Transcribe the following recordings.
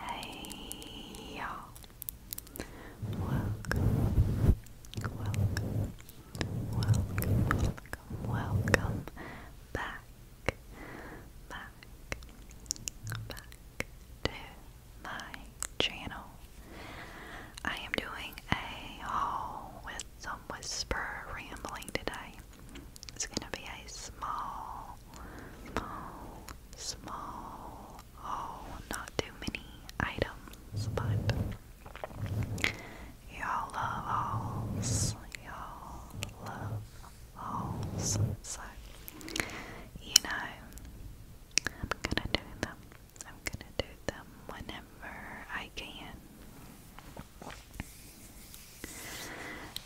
Hey y'all. Welcome. Welcome. Welcome. Welcome. back. Back. Back to my channel. I am doing a haul with some whisper rambling today. It's going to be a small, small, small, oh, not too many items, but y'all love hauls. Y'all love hauls. So, you know, I'm gonna do them. I'm gonna do them whenever I can.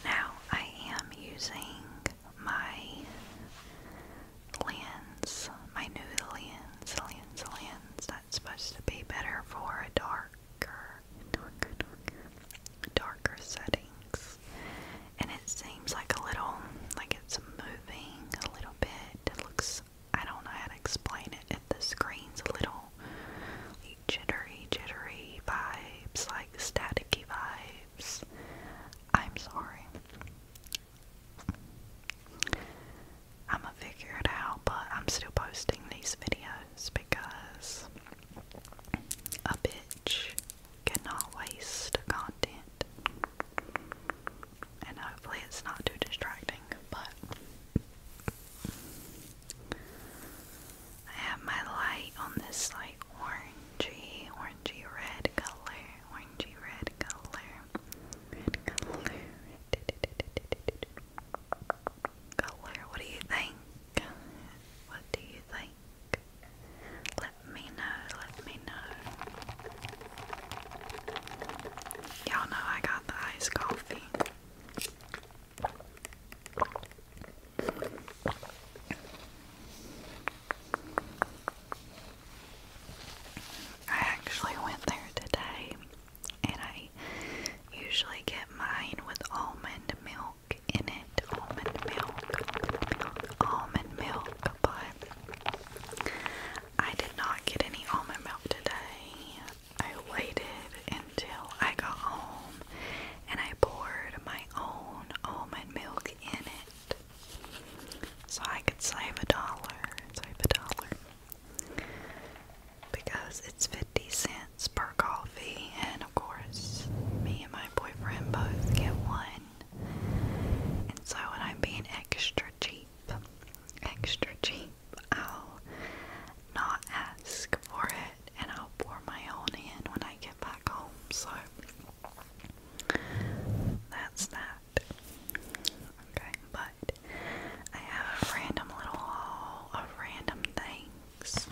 Now I am using my lens, my new lens, lens, lens that's supposed to be better for darker, darker, darker, settings. And it seems like a little, like it's moving a little bit. looks, I don't know how to explain it. If the screen's a little, jittery, jittery vibes, like staticky vibes. I'm sorry. I'ma figure it out, but I'm still posting these videos because a bitch cannot waste content. And hopefully it's not too distracting, but I have my light on this like orangey, orangey red color, orangey red color, color. What do you think? What do you think? Let me know, let me know. Y'all know I got the iced coffee. I actually went there today and I usually get mine with almond milk in it. Almond milk. Almond milk. But I did not get any almond milk today. I waited until I got home and I poured my own almond milk in it so I could save a dollar, save a dollar because it's 50 cents per coffee and of course me and my boyfriend both get one and so when I'm being extra cheap, extra cheap, I'll not ask for it and I'll pour my own in when I get back home. So that's that. Okay, but I have a random little haul of random things.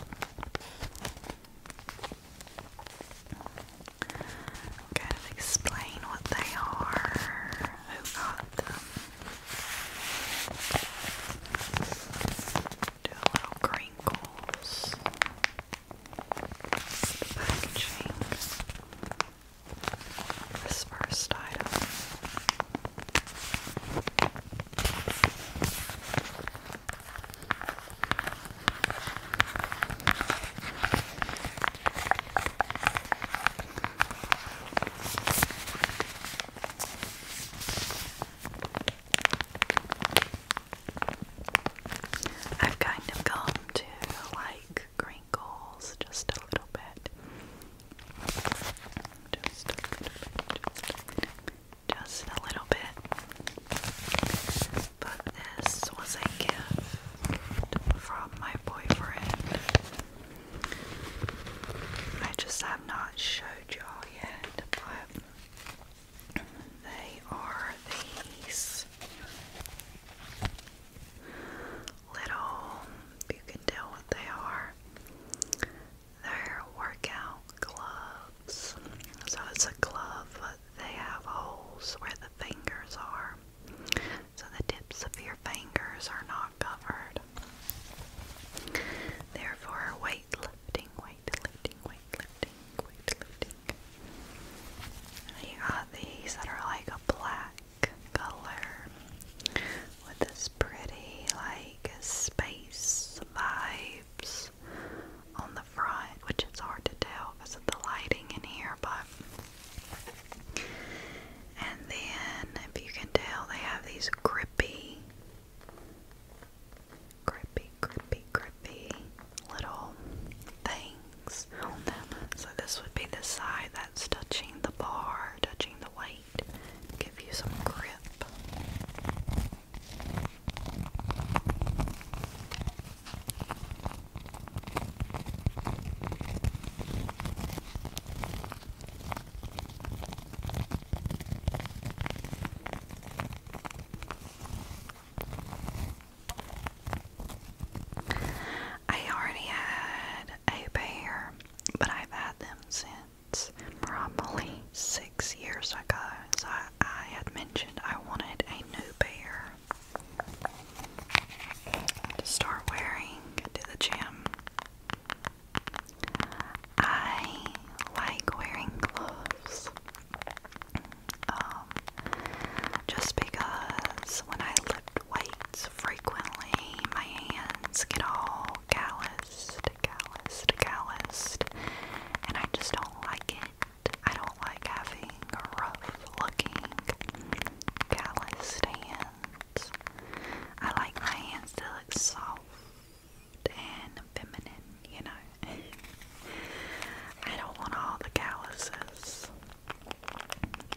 I'm kind of explain what they are, who got them do a little crinkles. packaging. first item. I've kind of come to like crinkles just a little bit. Just a little bit, just a little bit, But this was a gift from my boyfriend. I just have not showed yet, but they are these little, you can tell what they are. They're workout gloves. So it's a glove, but they have holes where the fingers are. So the tips of your fingers are not covered. Therefore, way weightlifting, weightlifting, weightlifting, weightlifting. And got these that are like a black color with this pretty like space vibes on the front, which it's hard to tell because of the lighting in here, but and then if you can tell they have these grippy grippy, grippy, grippy little things So this would be the side that's touching the bar, touching the weight, give you some grip. I already had a pair, but I've had them since probably six years ago. So I, had mentioned I wanted a new pair to start wearing to the gym. I like wearing gloves. Um, just because when I lift weights frequently, my hands get all calloused, calloused, calloused, and I just don't like it. I don't like having rough-looking, calloused hands. I like my hands to look soft and feminine, you know. I don't want all the calluses.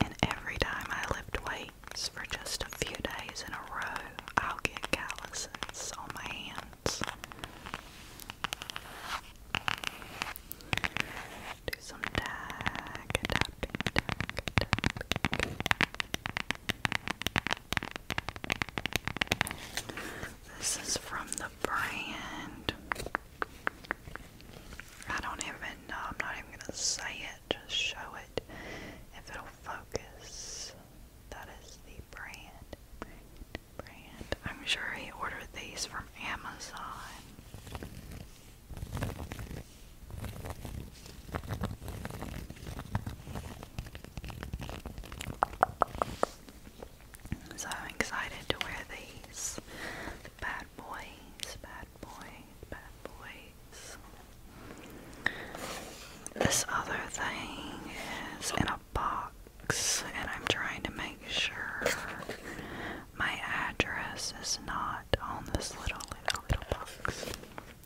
And every time I lift weights for just a few days in a row, I'll get calluses on my hands. Do some tag, tapping, tag, tapping. This is from the brand. I don't even know, I'm not even i am not even going to say it, just show it if it'll focus. That is the Brand, brand. I'm sure he ordered these from Amazon. So excited to wear these bad boys, bad boys, bad boys. This other thing is in a box, and I'm trying to make sure my address is not on this little, little, little box.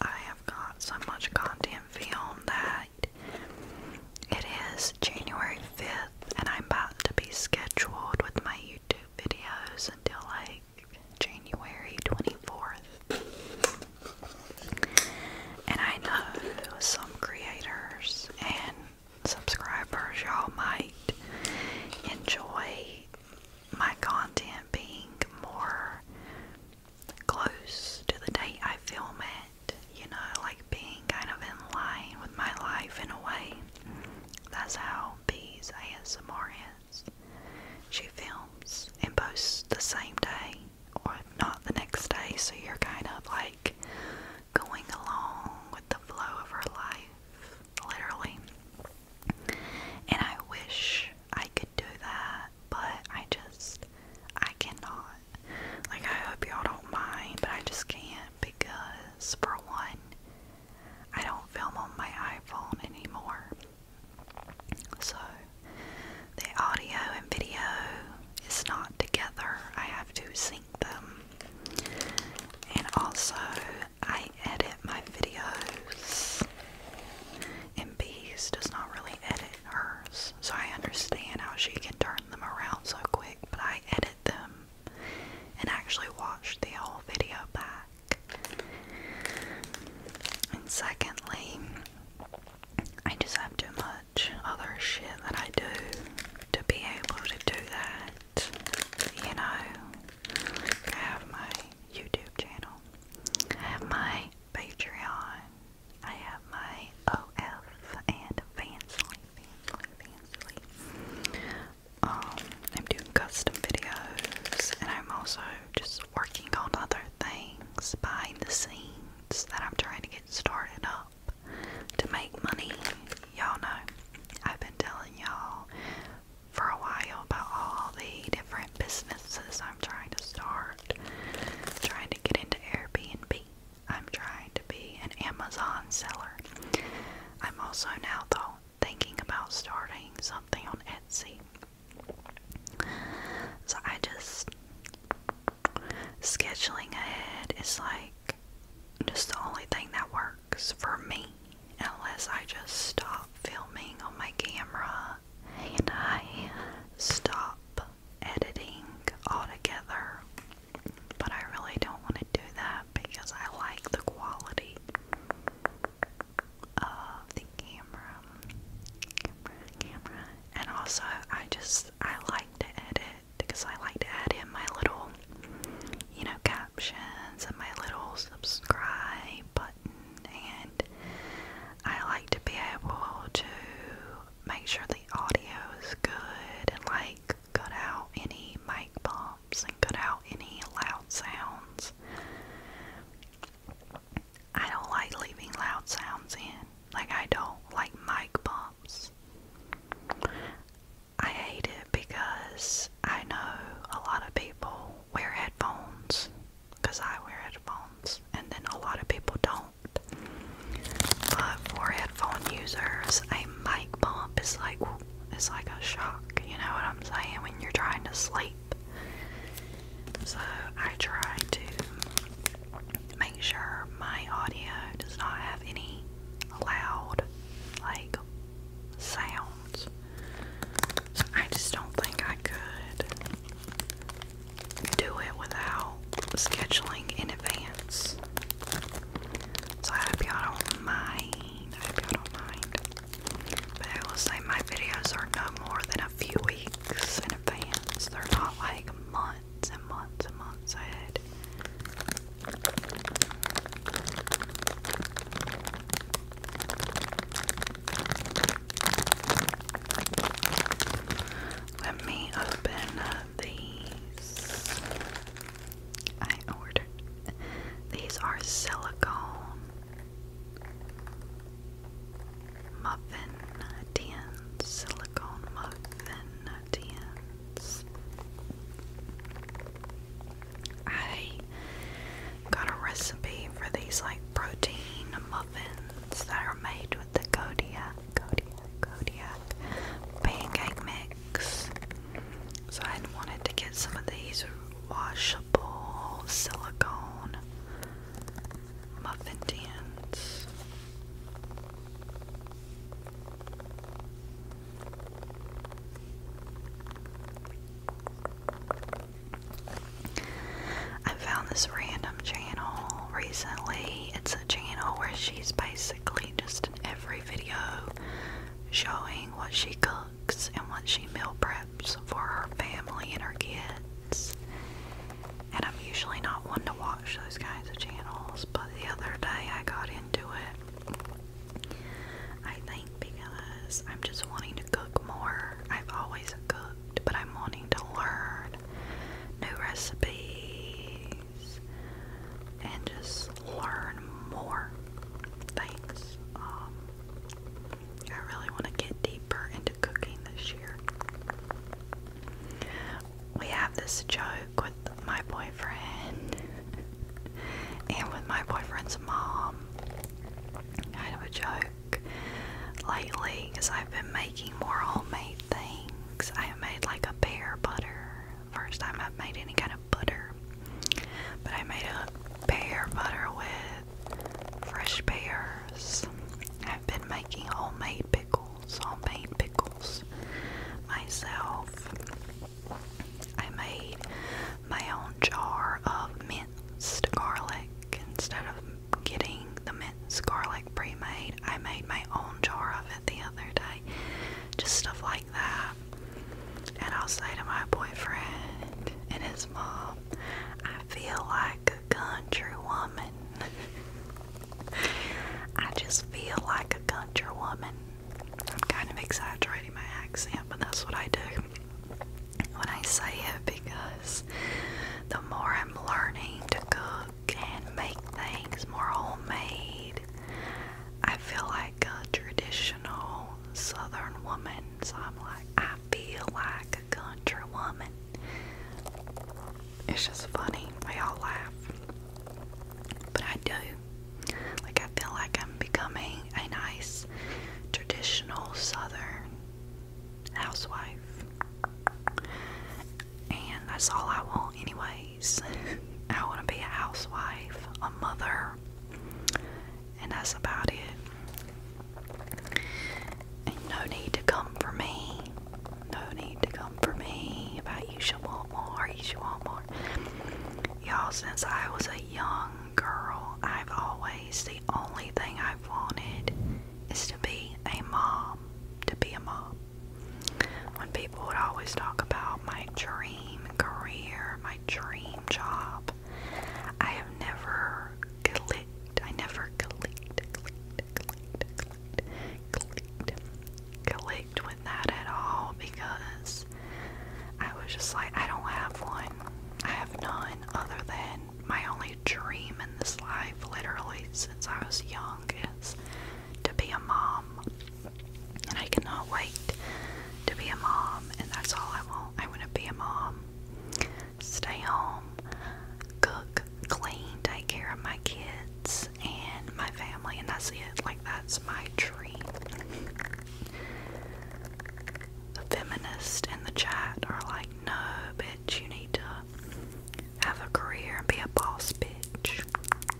I have got so much content filmed that it is January 5th, and I'm about to be scheduled with my YouTube videos until like January 24th. And I know some creators and subscribers, y'all might enjoy my content being more close to the date I film it, you know, like being kind of in line with my life in a way. That's how Bee's ASMR is. She films and posts the same day, or not the next day, so you're kind of like going along with the flow of her life, literally. And I wish I could do that but I just I cannot. Like I hope y'all don't mind, but I just can't because for one, I don't film on my iPhone anymore. So the audio and video is not together. I have to sync them. And also I edit my videos and Bees does not really edit hers, so I understand how she can turn them around so quick, but I edit them and actually watch the whole video back. And secondly, I just have too much other shit that I do to be able to do that. You know, I have my YouTube channel, I have my Patreon. I have my OF and Fansley, Fansley, Fansley. Um, I'm doing custom videos, and I'm also just working on other things behind the scenes that I'm trying to get started up to make money. Y'all know, I've been telling y'all for a while about all the different businesses I'm trying to start. I'm trying to get into Airbnb. I'm trying to be an Amazon seller. I'm also now though thinking about starting something on Etsy. So I just scheduling ahead is like just the only thing that works for me unless I just stop filming on my camera and I stop editing altogether, but I really don't want to do that because I like the quality of the camera, and also I just I like to edit because I like to add in my little, you know, captions and my little subscribe button and I like to be able to make sure the audio is good and like cut out any mic bumps and cut out any loud sounds. I don't like leaving loud sounds in. Like I don't like mic bumps. I hate it because I know a lot of people wear headphones because I wear headphones, and then a lot of people don't. But for headphone users, a mic bump is like it's like a shock. You know what I'm saying when you're trying to sleep. So I try to make sure my audio does not have any loud like sounds. So I just don't think I could do it without scheduling in advance. So I hope y'all don't mind. I hope y'all don't mind. But I will say my videos are no more than a few weeks in advance. They're not like months and months and months ahead. Let me open these. I ordered. These are silicone muffin tins. Silicone muffin tins. I Got a recipe for these like protein muffins that are made with the Kodiak, Kodiak, Kodiak pancake mix. So I wanted to get some of these washable silicone muffin tins. I found this random channel recently. It's a channel where she's basically just in every video showing what she cooks and what she meal preps for her family and her kids. And I'm usually not one to watch those kinds of channels, but the other day I got into it. I think because I'm just wanting to cook more. I've always cooked, but I'm wanting to learn new recipes and just learn more things. Um, I really want to get deeper into cooking this year. We have this joke with my boyfriend and with my boyfriend's mom. Kind of a joke work lately because I've been making more homemade things. I have made like a pear butter. First time I've made any kind of butter. But I made a pear butter with fresh pears. I've been making homemade pickles, homemade pickles myself. I made my own jar of mint minced garlic. Instead of getting the minced garlic pre made, I made my own jar of it the other day. Just stuff like that. And I'll say to my boyfriend and his mom, I feel like a country woman. I just feel like a country woman. I'm kind of exaggerating my accent, but that's what I do when I say it because the more I'm learning to cook and make things more homemade, I feel like a traditional southern woman. So I'm like, I feel like a country woman. It's just funny. We all laugh. But I do. Like, I feel like I'm becoming a nice, traditional Southern housewife. And that's all I want, anyways. I want to be a housewife, a mother, and that's about it. And no need to come for me. No need to come for me about you should want more, you should want more. Y'all, since I was a young girl, I've always, the only thing I've wanted is to be a mom. To be a mom. When people would always talk about my dream career, my dream job, I have never clicked. I never clicked, clicked, clicked, clicked, clicked, clicked with that at all because I was just like, I don't have one. I have none other than my only dream in this life, literally, since I was young, is to be a mom. And I cannot wait to be a mom, and that's all I want. I want to be a mom. Stay home, cook, clean, take care of my kids and my family, and that's it. Like, that's my dream the feminist in the chat are like, no, bitch, you need to have a career and be a boss bitch.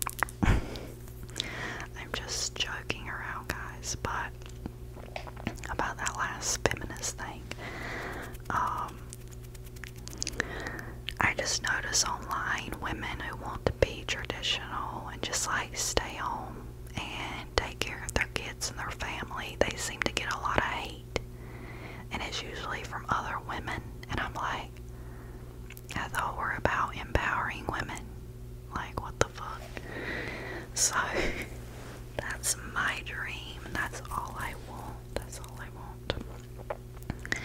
I'm just joking around, guys, but about that last feminist thing, um, I just notice online women who want to be traditional and just like stay home and take care of their kids and their family, they seem to get a lot of hate. And it's usually from other women. And I'm like, I thought we're about empowering women. Like, what the fuck? So, that's my dream. That's all I want. That's all I want.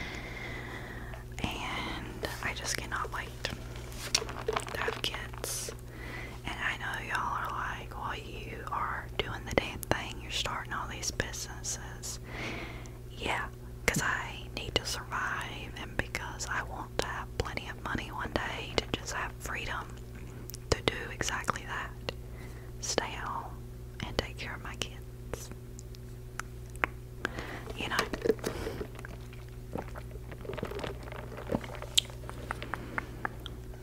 And I just cannot wait to have kids. And I know y'all are like, well, you are doing the damn thing. You're starting all these businesses. Yeah, because I need to survive and because I want to have plenty of money one day to just have freedom to do exactly that. Stay at home and take care of my kids. You know,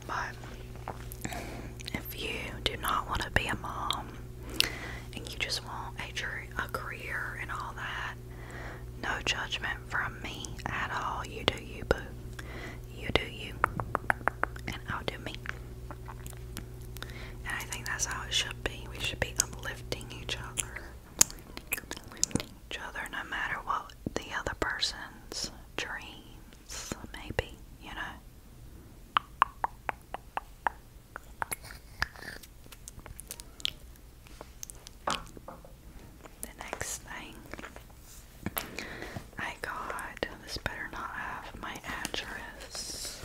but if you do not want to be a mom and you just want a, career and all that, no judgment from me at all. You do you, boo. You do you, and I'll do me. And I think that's how it should be. We should be uplifting each other. uplifting each other no matter what the other person's dreams, maybe, you know. The next thing I got, this better not have my address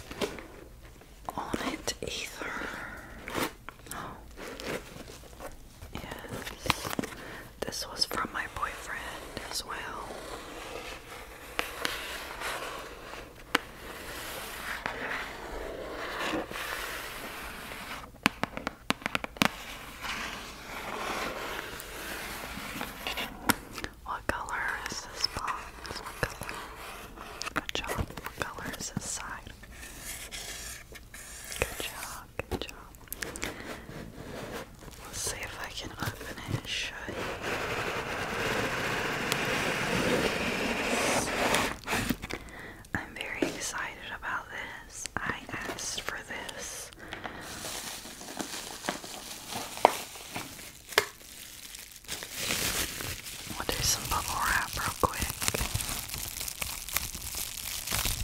on it either. Yes. This was from my boyfriend as well. What color is this box? Good job. What color is this Good job. Let's see if I can open it and I'm very excited about this. I asked for this. We'll do some bubble wrap real quick.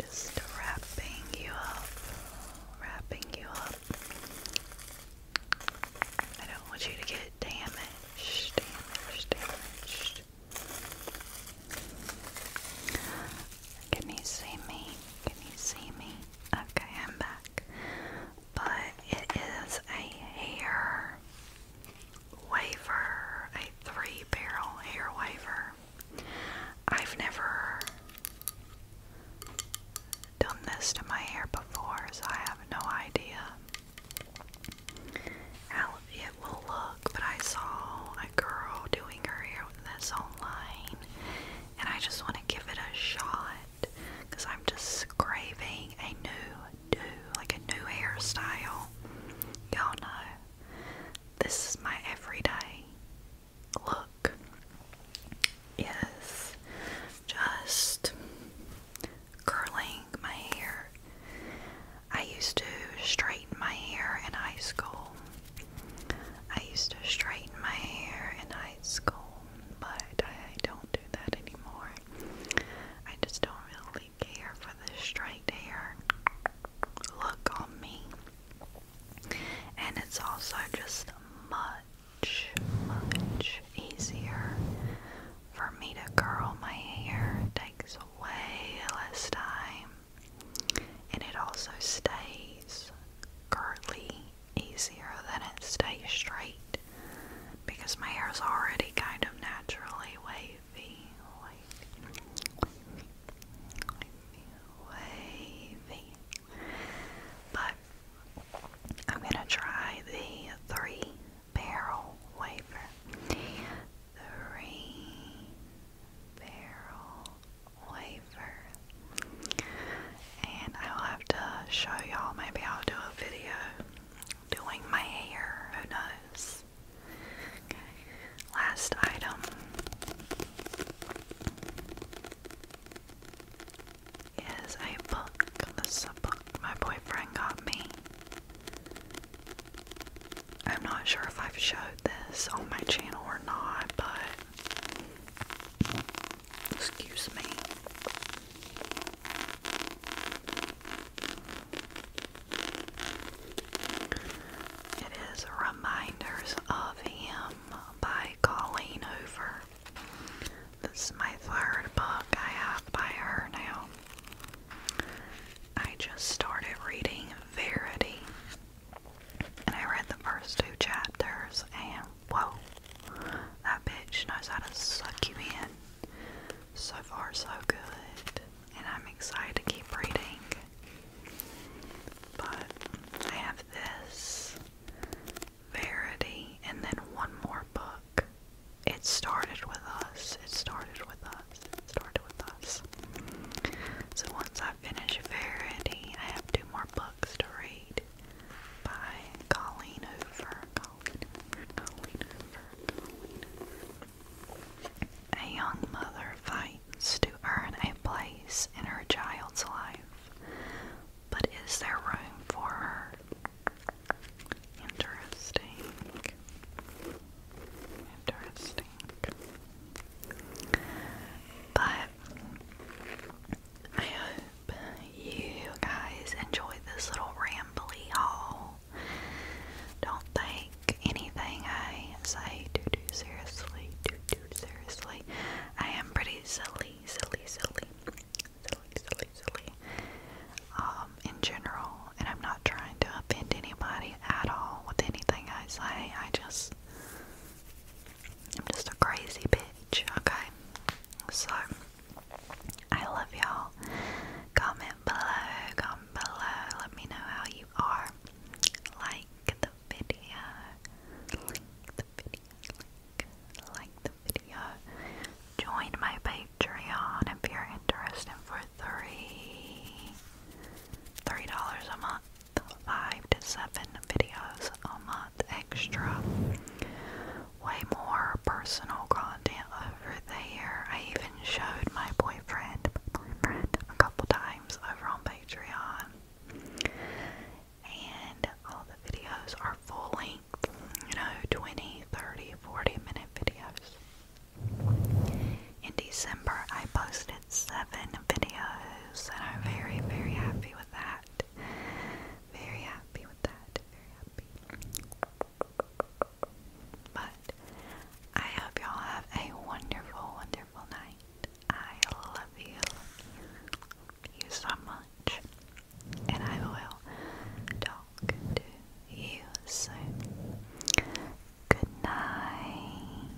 Just wrapping you up, wrapping you up. I don't want you to get damaged, damaged, damaged. Can you see me? Can you see me? Okay, I'm back. But it is a hair wafer, a three barrel hair wafer. I've never done this to my hair before, so I have no idea how it will look. But I saw a girl doing her hair with this online, and I just want to give it a shot because I'm just craving a new do like a new hairstyle. Y'all know this is my everyday look. Is just curling my hair. I used to straighten my hair in high school. I used to straighten my hair in high school, but I don't do that anymore. I just don't perfect for the straight hair look on me. And it's also just much, much easier for me to curl my hair. takes way less time. And it also stays curly easier than it stays straight because my hair is already kind of naturally wavy wavy. But I'm gonna try the three barrel waver. Three barrel wafer. And I'll have to show y'all. Maybe I'll do a video doing my hair. Who knows? Last item. Is a book. This book my boyfriend got me. I'm not sure if I've showed this on my channel or not, but excuse me. It is Reminders of Him by Colleen Hoover. This is my third book I have by her now. I just started reading Verity. And I read the first two chapters, and whoa, that bitch knows how to suck you in. So far, so good, and I'm excited to keep reading. But I have this Verity, and then one more book. It started with us. It started with us. It started with us. So once I finish Verity, I have two more books to read by Colleen Hoover. Colleen Colleen Hoover. Colleen a young mother fights to earn a place in her child's life, but is there room for her? Interesting. Interesting. But I hope you guys enjoyed this little rambly haul. Don't take anything I say too seriously. Too too seriously. I am pretty silly, silly, silly, silly, silly, silly. Um, in general, and I'm not trying to offend anybody at all with anything I say. I just, I'm just a crazy bitch. Okay, so I love y'all. Comment below, comment below. Let me know how you are. Like the video. Like the video. Like, the video. Join my Patreon if you're interested for three three dollars a month. Five to seven videos a month extra way more personal content over there. I even showed my boyfriend, a couple times over on Patreon. And all the videos are full length, you know, 20, 30, 40 minute videos. In December, I posted seven videos, and I'm very, very happy with that. Very happy with that. Very happy. But I hope y'all have a wonderful, wonderful night. I love you, you so much. And I will talk to you soon. Good night.